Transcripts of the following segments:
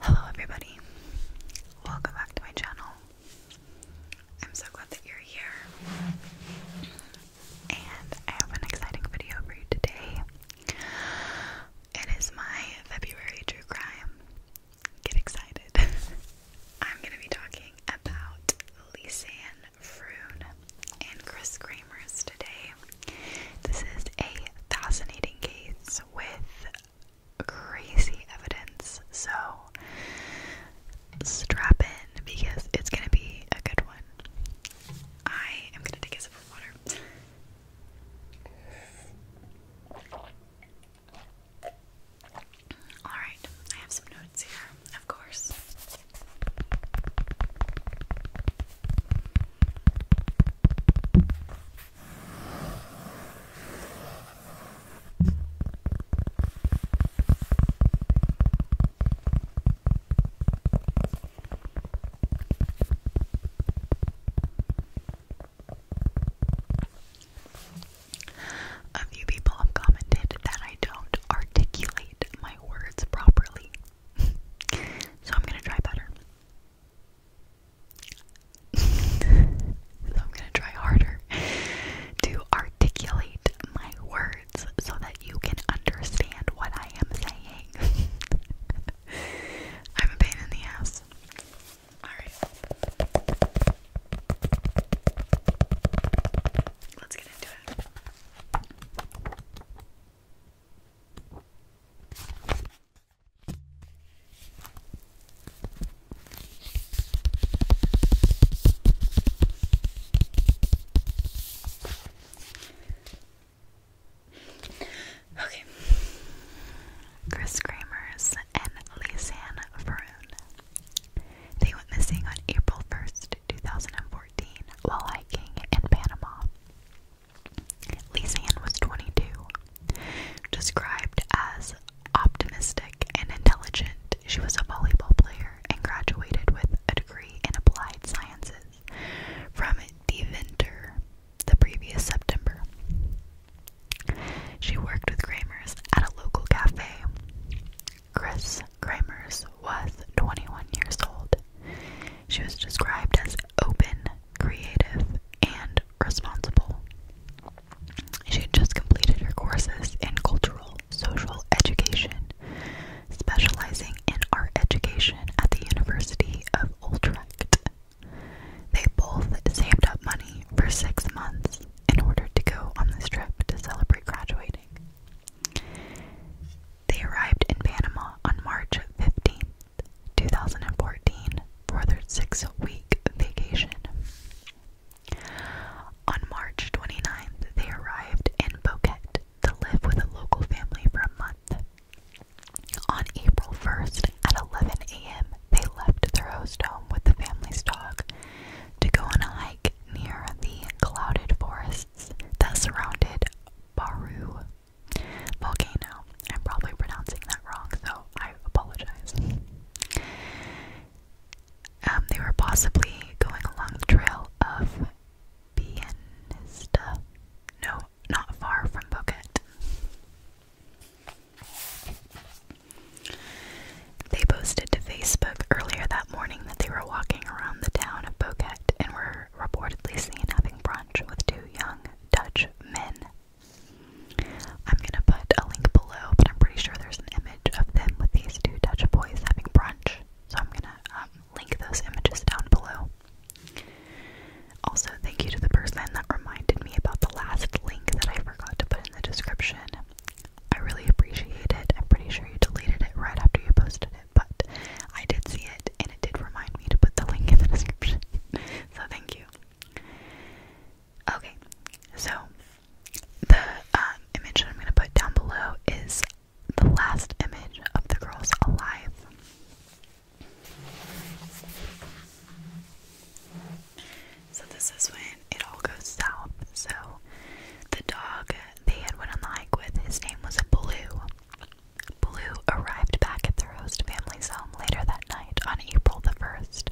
Hello, everybody. Welcome back to my channel. I'm so glad that you're here. And I have an exciting video for you today. It is my February true crime get excited. I'm going to be talking about Lisanne Froon and Chris Kramers today. This is a fascinating case with crazy evidence, so strap in because it's going to be a good one. I am going to take a sip of water. Alright, I have some notes here, of course. A few people have commented that I don't articulate my words properly. so I'm gonna try better. so I'm gonna try harder to articulate my words so that you can understand what I am saying. I'm a pain in the ass. Alright. Let's get into it. Okay. Chris Kramers and Lisanne Faroon. They went missing on April 1st, 2014, while hiking in Panama. Lisanne was 22. Described as optimistic and intelligent, she was a volleyball player and graduated with a degree in applied sciences from Deventer the previous September. She worked with Kramers at a local cafe. Chris Kramers was 21 years old. She was described as open, creative, and responsible. She had just completed her courses in cultural social education, specializing in art education at the University of Utrecht. They both saved up money for six months in order to go on this trip to celebrate graduating. They arrived in Panama on March fifteenth, two 2014, for their six week vacation. On March 29th, they arrived in Boquete to live with a local family for a month. On April 1st at 11 a.m., they left their host home with the family's dog to go on a hike near the clouded forests that surrounded Baru Volcano. I'm probably pronouncing that wrong, so I apologize. Um, they were possibly going along the trail of Bienista. No, not far from Bukit. They posted to Facebook earlier that morning that they were walking around the town of Bukit and were reportedly seen having brunch with two young Dutch men. I'm gonna put a link below, but I'm pretty sure there's an image of them with these two Dutch boys having brunch. So I'm gonna um, link those images down below. Also, thank you to the person that reminded me about the last link that I forgot to put in the description. I really appreciate it. I'm pretty sure you deleted it right after you posted it, but I did see it and it did remind me to put the link in the description. so, thank you. Okay, so the um, image that I'm going to put down below is the last image of the girls alive. So this is when it all goes south. So the dog they had went on the hike with, his name was Blue. Blue arrived back at their host family's home later that night on April the 1st,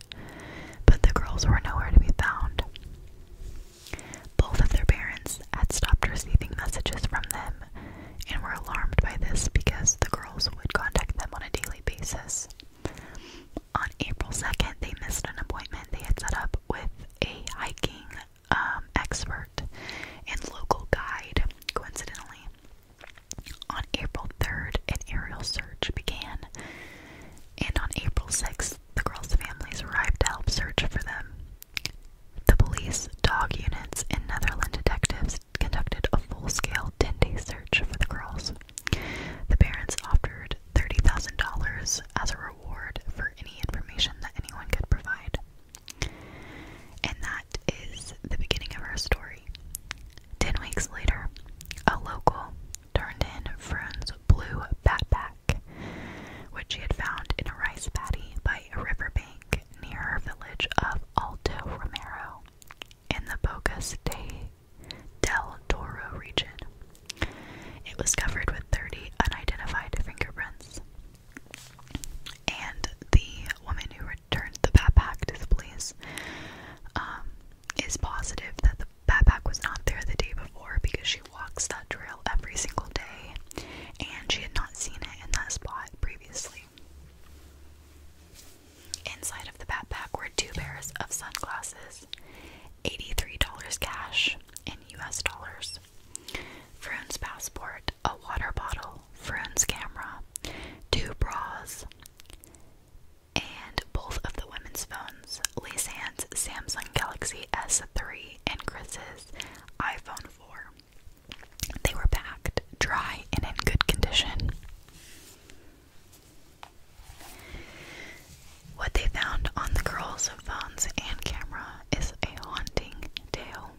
but the girls were nowhere to be found. Both of their parents had stopped receiving messages from them, and were alarmed by this because the girls would contact them on a daily basis. On April 2nd, they missed an appointment they had set up with a hiking um, expert and local guide, coincidentally. On April 3rd, an aerial search began, and on April 6th, the girls' families arrived to help search for them. The police dog units and Netherland detectives conducted a full-scale 10-day search for the girls. The parents offered $30,000 as a reward for any information that anyone could provide. And that is the beginning of our story. Ten weeks later, a local turned in Frone's blue backpack, which he had found in a rice paddy by a riverbank near village of Alto Romero in the Bocas de del Toro region. It was covered with 30 unidentified fingerprints. And the woman who returned the backpack to the police um, is positive that the backpack was not there the day before because she walks that trail every single day, and she had not seen it in that spot previously. Inside of the backpack were two pairs of sunglasses, $83 cash in US dollars, Froon's passport, a water bottle, Froon's camera, two bras, and both of the women's phones Lisanne's Samsung Galaxy S3 and Chris's iPhone they were packed, dry, and in good condition. What they found on the girls' phones and camera is a haunting tale.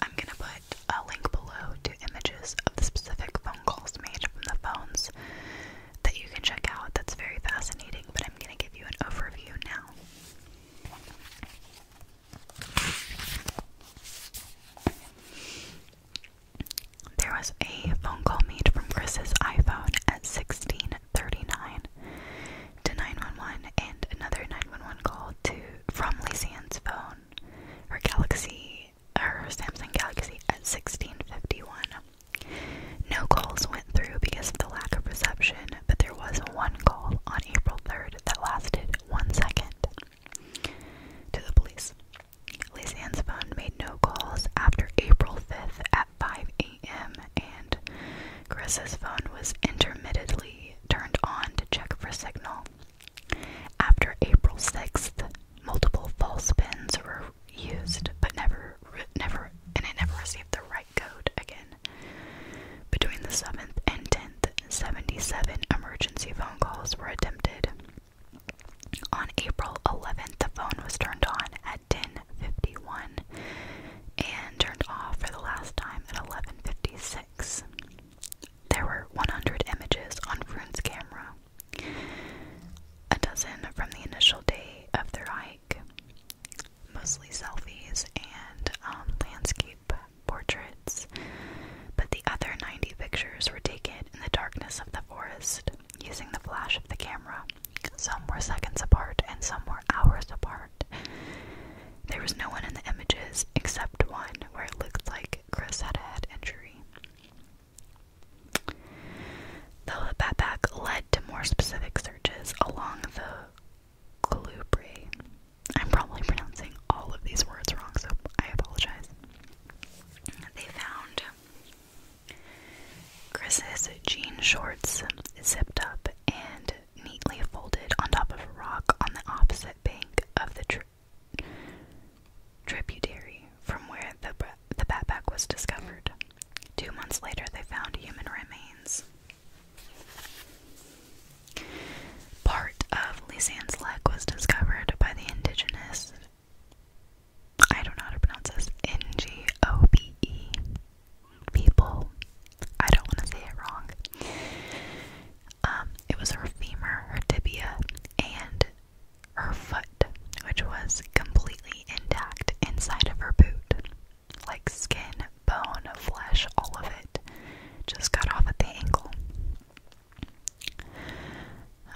I'm going to put a link below to images of the specific phone calls made from the phones that you can check out. That's very fascinating, but I'm going to give you an overview now. There was a phone call made from Chris's iPhone at 16:39 to 911 and another 911 call to from Lizzie Ann's phone, her Galaxy, her Samsung Galaxy at 16:51. No calls went through because of the lack of reception but there was one call on April 3rd that lasted one second to the police. Lisa Ann's phone made no calls after April 5th at 5 a.m., and Chris's phone was intermittently turned on to check for signal. After April 6th, multiple false pins were used, but never, never, and it never received the right code again. Between the 7th and 10th, 77 emergency phone calls were attempted. On April 11th, the phone was turned on at 10:51 and turned off for the last time at 11:56. There were 100 images on Froon's camera, a dozen from the initial day of their hike, mostly selfies and um, landscape portraits, but the other 90 pictures were taken in the darkness of the forest using the flash of the camera. Some were seconds apart and some were hours apart. There was no one in the images except one where it looked like Chris had a head injury. Though that back led to more specific searches along the Colubri. I'm probably pronouncing all of these words wrong, so I apologize. They found Chris's jean shorts zipped up and neatly folded on top of a rock on the opposite bank of the tributary from where the the backpack was discovered. Two months later, they found human remains. Part of Lysan's leg was discovered by the indigenous. I don't know how to pronounce this. N G O B E. People. I don't want to say it wrong. Um, it was her femur, her tibia, and her foot, which was completely intact inside of her boot like skin, bone, flesh, all of it just got off at the ankle.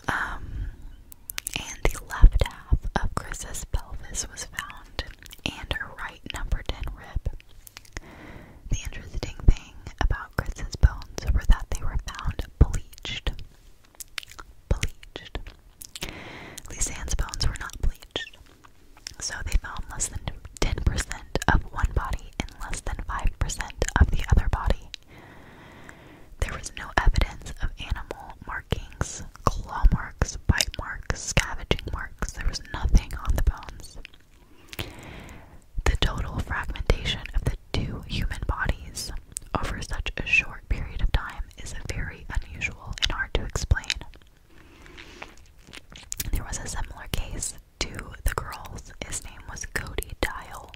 Um, and the left half of Chris's pelvis was found, and her right number 10 rib. The interesting thing about Chris's bones were that they were found bleached bleached. Lisanne's bones were not bleached, so they found less than 10% of one body and less than 5% of the other body. There was no evidence of animal markings, claw marks, bite marks, scavenging marks. There was nothing on the bones. The total fragmentation of the two human bodies over such a short period of time is very unusual and hard to explain. There was a similar case to the girls. His name was Cody Dial.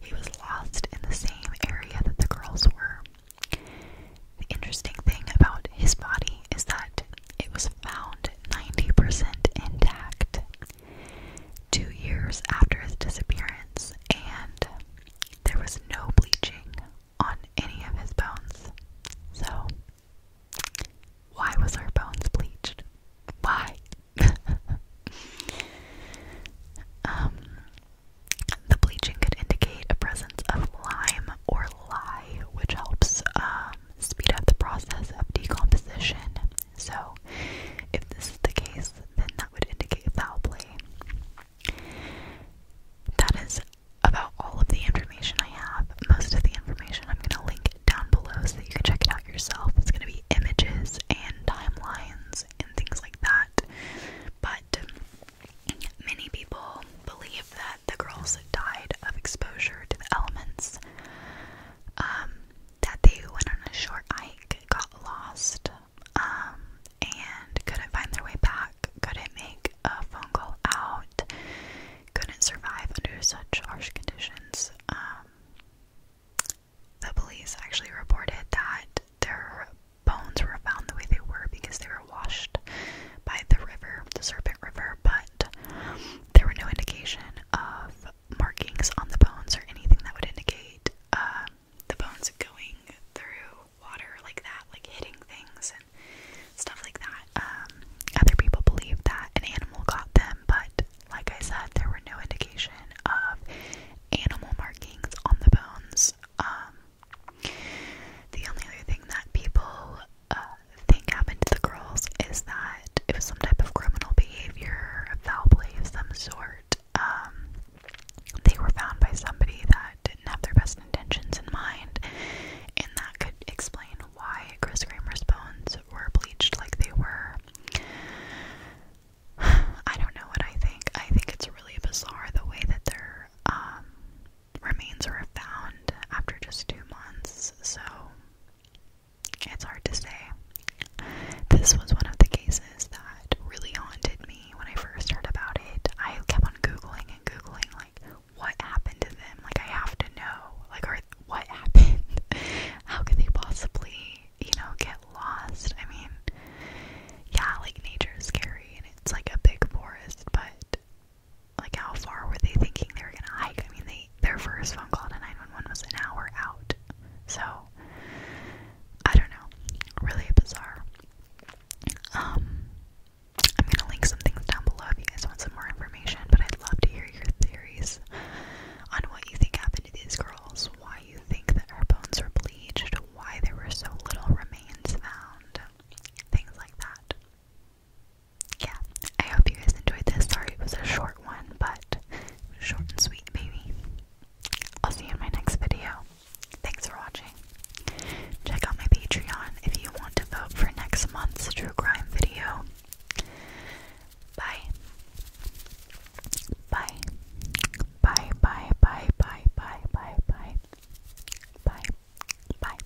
He was lost in the same area that the girls were. The interesting thing about his body is that it was found 90% intact two years after his disappearance, and there was no bleaching on any of his bones. So, why was our bones bleached? Why? Um, the bleaching could indicate a presence of lime or lye, which helps um, speed up the process of decomposition. So, if this is the case, then would indicate foul play. That is about all of the information I have. Most of the information I'm going to link down below so that you can check it out yourself. It's going to be images and timelines and things like that. But many people believe that the girls died of exposure to the elements, um, that they went on a short hike, got lost, um, and couldn't find their way back, couldn't make a phone call out, couldn't survive under such harsh conditions. Um, the police actually reported that their bones were found the way they were because they were washed by the river, the Serpent River, but there were no indication of markings on the bones or anything that would indicate uh, the bones going through water like that, like hitting things and stuff like that. Um, other people believe that an animal got them, but like I said, there were no indication of animal markings on the bones. Um, the only other thing that people uh, think happened to the girls is that it was some type of criminal behavior, foul play of some sort part, um, they were found by somebody that didn't have their best intentions in mind, and that could explain why Chris Kramer's bones were bleached like they were. I don't know what I think. I think it's really bizarre the way that their um, remains were found after just two months. So it's hard to say. This was one of the cases that really haunted me when I first heard about it. I kept on Googling and Googling, like, what happened to them? Like, I have to know. Like, or what happened? How could they possibly, you know, get lost? I mean, yeah, like, nature is scary and it's like a big forest, but like, how far were they thinking they were gonna hike? I mean, they their first phone call to 911 was an hour out. So, I don't know. Really bizarre. Um, I'm gonna link some things down below if you guys want some more information, but I'd love to hear your theories on what you think happened to these girls, why you think that her bones were bleached, why there were so little remains found, things like that. Yeah, I hope you guys enjoyed this. Sorry it was a short one, but Short and sweet, baby. I'll see you in my next video. Thanks for watching. Check out my Patreon if you want to vote for next month's true crime video. Bye. Bye. Bye, bye, bye, bye, bye, bye, bye. Bye. Bye.